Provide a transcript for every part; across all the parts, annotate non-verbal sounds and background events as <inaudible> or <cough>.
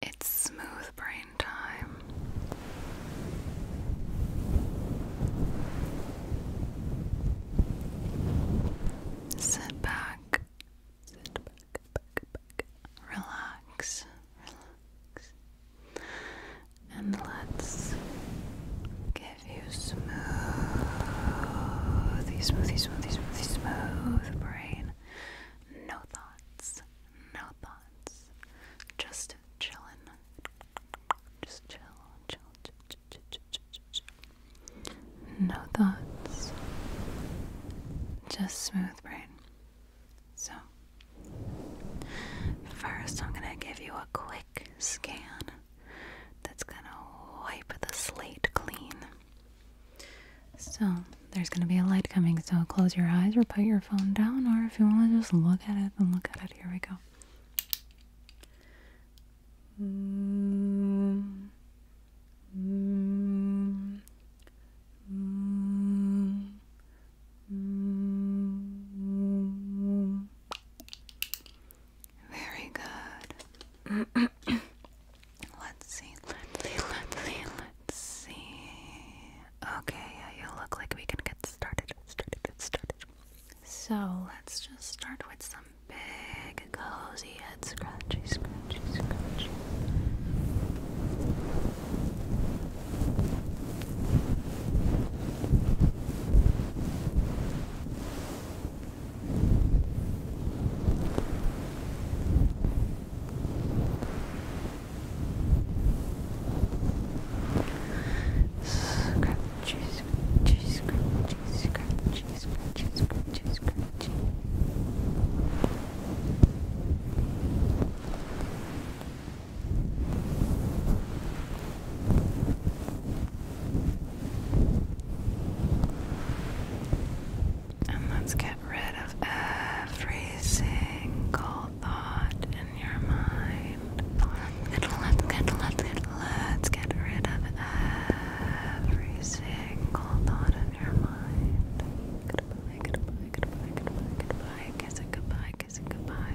It's smooth brain time. Sit back, sit back, back, back. Relax, relax. And let's give you smoothie, smoothie, smoothie, smoothie, smooth brain. No thoughts no thoughts, just chillin', just chill, chill, chill, chill, chill, chill, chill. no thoughts, just smooth brain. So, first, I'm gonna give you a quick scan that's gonna wipe the slate clean. So, there's going to be a light coming, so close your eyes or put your phone down, or if you want to just look at it, then look at it. Here we go. Very good. <coughs> Let's see. Let's see. Let's see. Let's see see. Okay, yeah, you look like we can get started. Started, started. So let's just start with some big, cozy head scratchy, scratchy, scratchy. Scratchy, scratchy, And let's get Get rid of every single thought in your mind. Let's get, let let's get rid of every single thought in your mind. goodbye, goodbye, goodbye, goodbye. Kiss it goodbye, kiss it goodbye.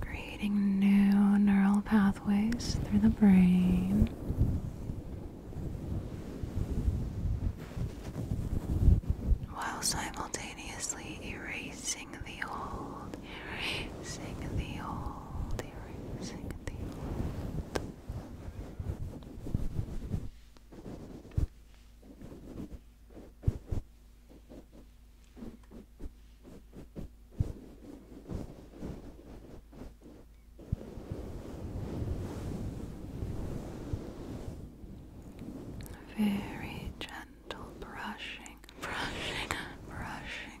Creating new neural pathways through the brain. While simultaneously erasing the old, erasing the old. Very gentle brushing, brushing, brushing.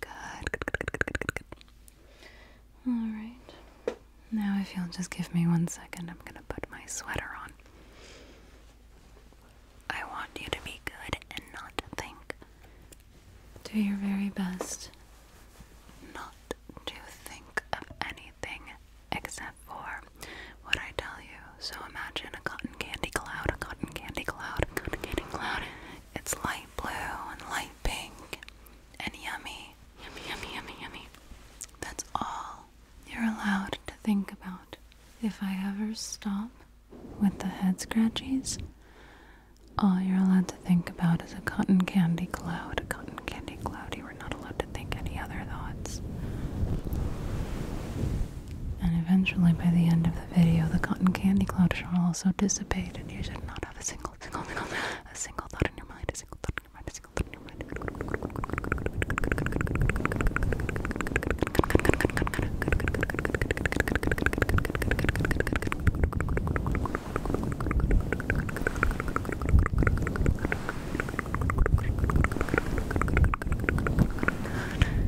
Good, good, good, good, good, good, good. Alright. Now, if you'll just give me one second, I'm gonna put my sweater on. I want you to be good and not think. Do your very best not to think of anything except for what I tell you. So imagine a cotton candy cloud, a cotton candy cloud, cotton candy cloud. It's light blue and light pink and yummy. Yummy, yummy, yummy, yummy. That's all you're allowed to think about. If I ever stop with the head scratchies, all you're allowed to think about is a cotton candy cloud. A cotton candy cloud. You are not allowed to think any other thoughts. And eventually, by the end of the video, the cotton candy cloud shall also disappear dissipate and you should not have a single, single, single, a single thought in your mind, a single thought in your mind, a single thought in your mind.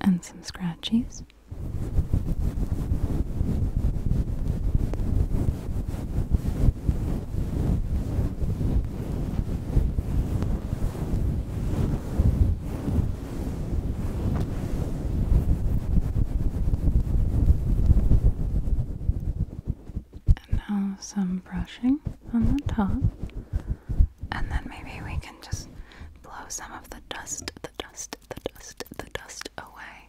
And some scratchies. And now some brushing on the top. And then maybe we can just blow some of the dust, the dust, the dust, the dust away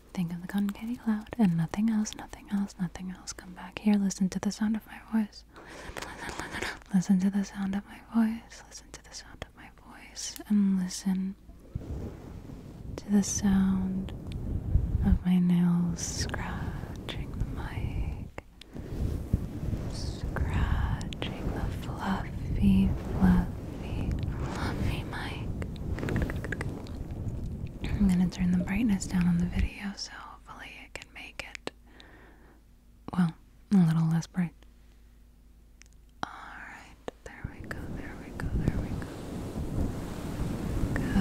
Think of the concave cloud and nothing else, nothing else, nothing else. Come back here, listen to the sound of my voice. Listen to the sound of my voice. Listen to the sound of my voice. And listen to the sound of my nails scratching the mic. Scratching the fluffy, fluffy, fluffy mic. I'm gonna turn the brightness down on the video so hopefully it can make it well, a little less bright. Alright, there we go, there we go, there we go. Good,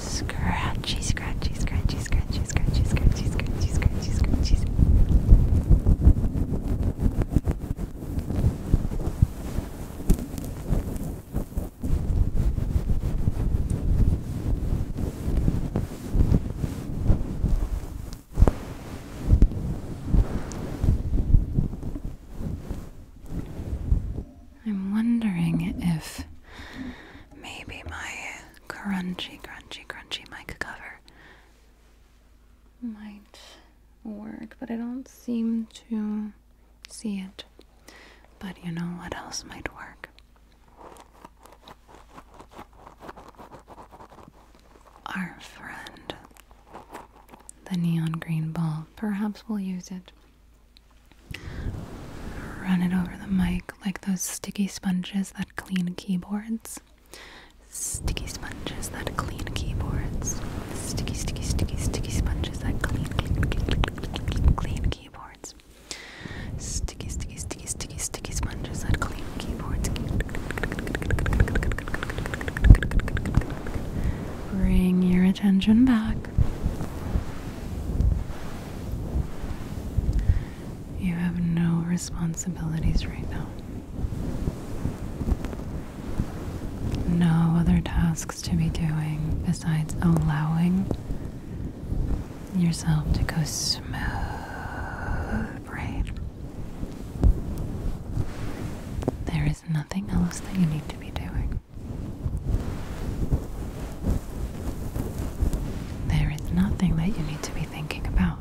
Scratchy, scratchy, scratchy, scratchy, scratchy, scratchy, scratchy, scratchy, scratchy. I'm wondering if maybe my crunchy, crunchy, crunchy mic cover might work, but I don't seem to see it. But you know what else might work? Our friend, the neon green ball. Perhaps we'll use it Run it over the mic like those sticky sponges that clean keyboards. Sticky sponges that clean keyboards. Sticky, sticky, sticky, sticky sponges that clean, clean, clean, clean, clean keyboards. Sticky, sticky, sticky, sticky, sticky sponges that clean keyboards. Bring your attention back. You have no responsibilities right now. No other tasks to be doing besides allowing yourself to go smooth right. There is nothing else that you need to be doing. There is nothing that you need to be thinking about.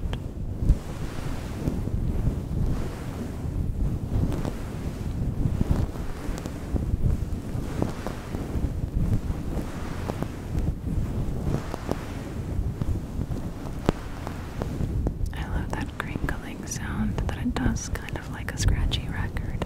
I love that crinkling sound that it does, kind of like a scratchy record.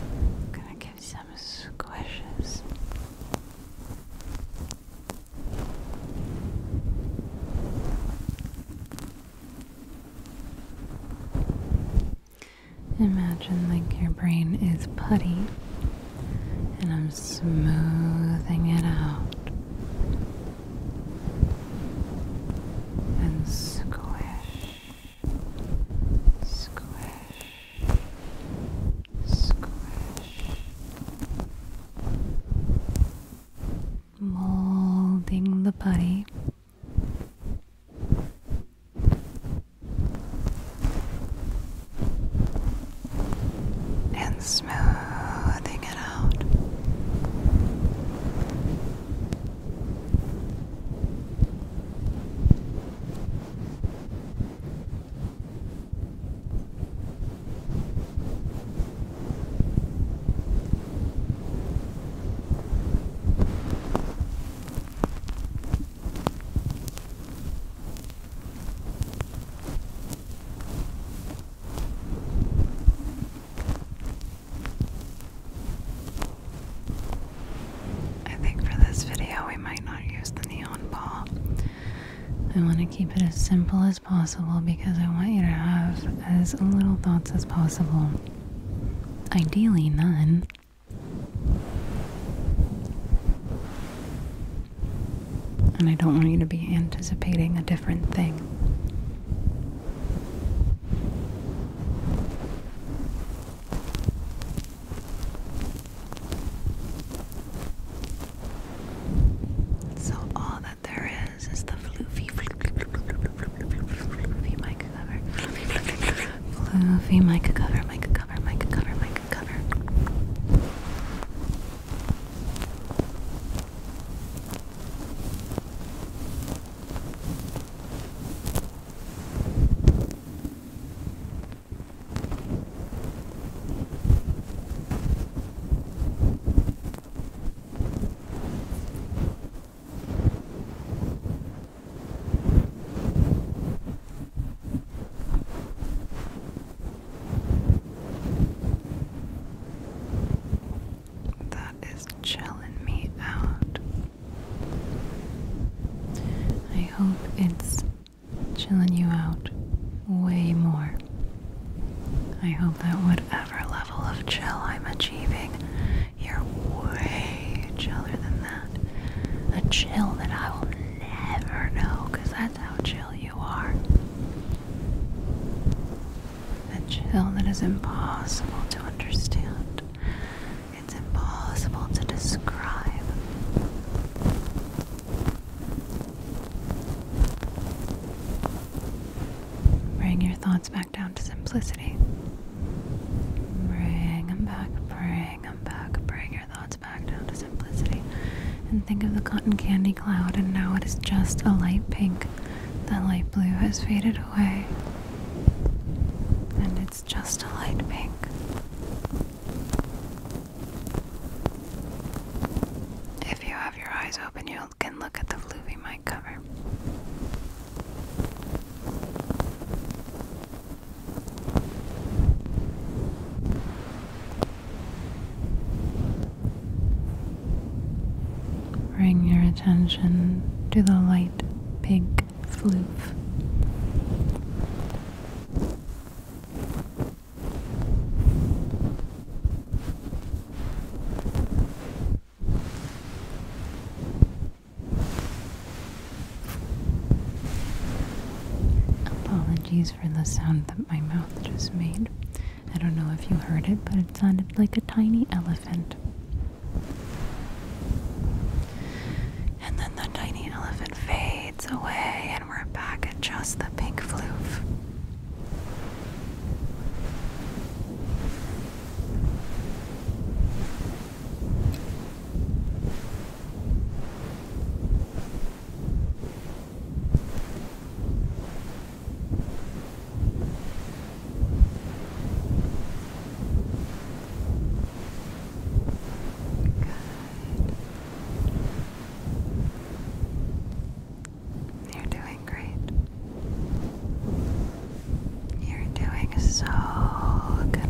I'm gonna give some squishes. Imagine like your brain is putty and I'm smoothing it out and squish, squish, squish, molding the putty and smoothing it out. I think for this video, we might not use the neon ball. I want to keep it as simple as possible because I want you to have as little thoughts as possible. Ideally, none. And I don't want you to be anticipating a different thing. So, all that there is is the floofy, floofy, floofy, floofy, floofy Floofy mic cover, mic cover cover, mic cover, mic cover. That is chilling me out. I hope it's chilling you out way more. I hope that whatever level of chill I'm achieving, you're way chiller than that. A chill that I will never know because that's how chill you are. A chill that is impossible to understand, it's impossible to describe. Bring your thoughts back down to simplicity. Bring them back, bring them back, bring thoughts back down to simplicity and think of the cotton candy cloud, and now it is just a light pink. That light blue has faded away, and it's just a light pink. If you have your eyes open, you can look at the Floofy mic cover. Bring your attention to the light pink floof. Apologies for the sound that my mouth just made. I don't know if you heard it, but it sounded like a tiny elephant. And then the tiny elephant fades away, and we're back at just the pink floof. You're doing great. You're doing so good.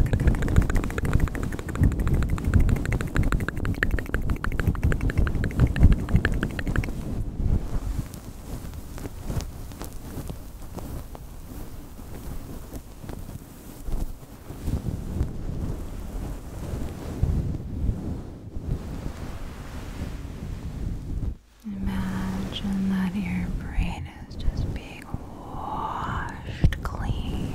Imagine that your brain is just being washed clean.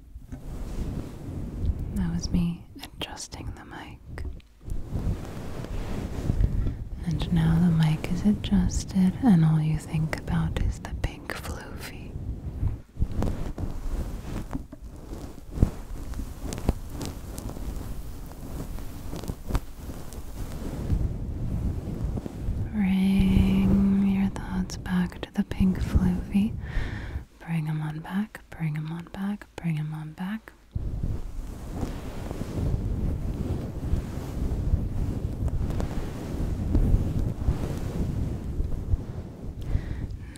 That was me adjusting the mic. And now the mic is adjusted, and all you think about is the pink floofy. Bring your thoughts back to the pink floofy Bring him on back, bring him on back, bring him on back.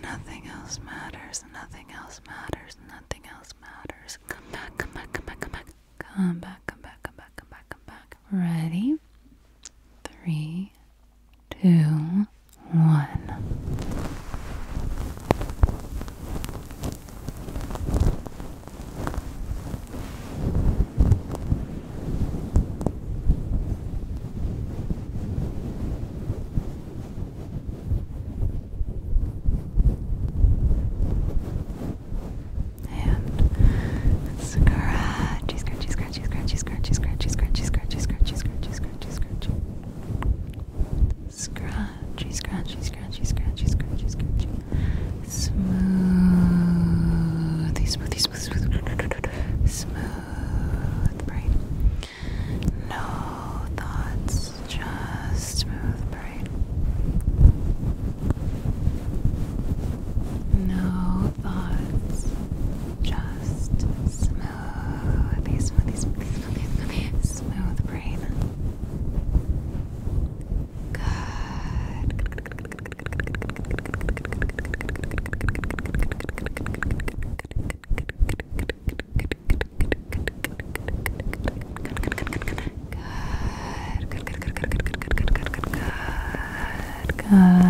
Nothing else matters, nothing else matters, nothing else matters. Come back, come back, come back, come back. Come back, come back, come back, come back, come back. Ready? Three, two, one. And scratchy, scratchy, scratchy, scratchy, scratchy, scratchy, scratchy, scratchy, scratchy, scratchy, scratchy, scratchy. Scratchy, scratchy, scratchy, scratchy, scratchy, scratchy. Smooth, smooth, smooth, smooth, smooth brain. No thoughts, just smooth brain. No thoughts, just smooth Smoothie, Smooth brain. Good. Good. Good. Good. Good. Good. Good. Good. Good. Good. Good. Good. Good.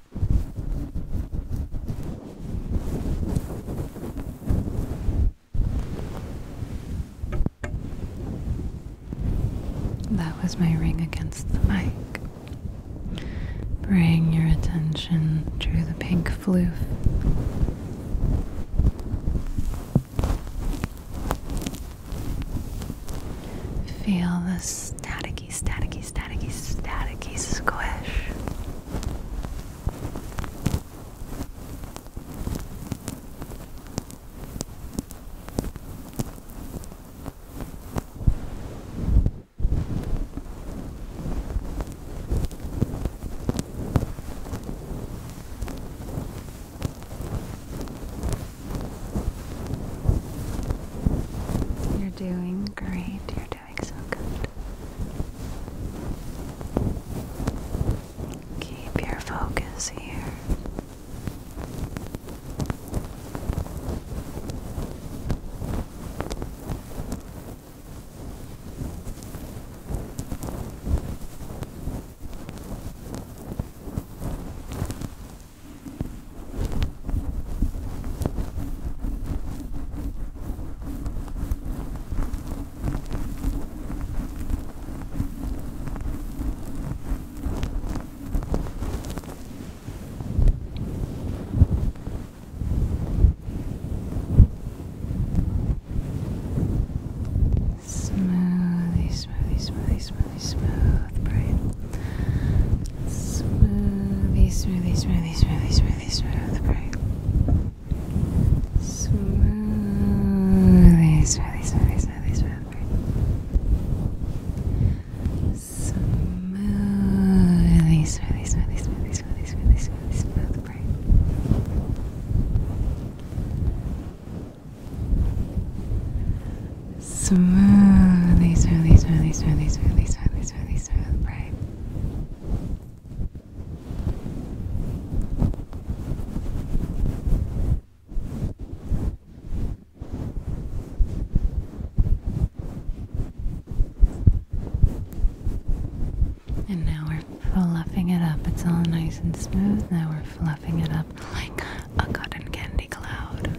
That was my ring against the mic. Bring your attention to the pink floof. Feel the static Static. staticky, Static. staticky squish. You're doing great. you Oh Keep your focus here. Smoothly, smoothly, smoothly, smoothly, smooth brain. Smoothly, smoothly, smoothly, smoothly, smoothly, smooth break. Smoothly, smoothly, smoothly, smoothly, smooth break. Smoothly, smoothly, smoothly, smoothly, smoothly, smoothly, smoothly, smooth break. Smoothly, smoothly, smoothly, smoothly, smoothly, smoothly. And now we're fluffing it up. It's all nice and smooth. Now we're fluffing it up like a cotton candy cloud.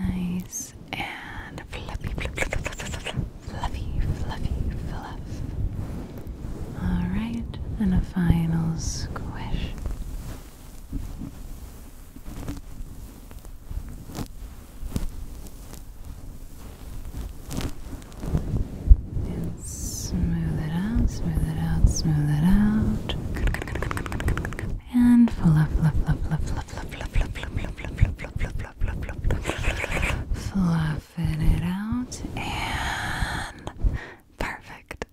Nice and fluffy, fluffy, fluffy, fluffy, fluffy, fluff. All right, and a final squish. And smooth it out, smooth it out, smooth it out. And fluff, fluff, fluff, fluff, fluff, fluff, fluff, fluff, fluff, fluff, fluff, fluff, fluff, it out. And perfect.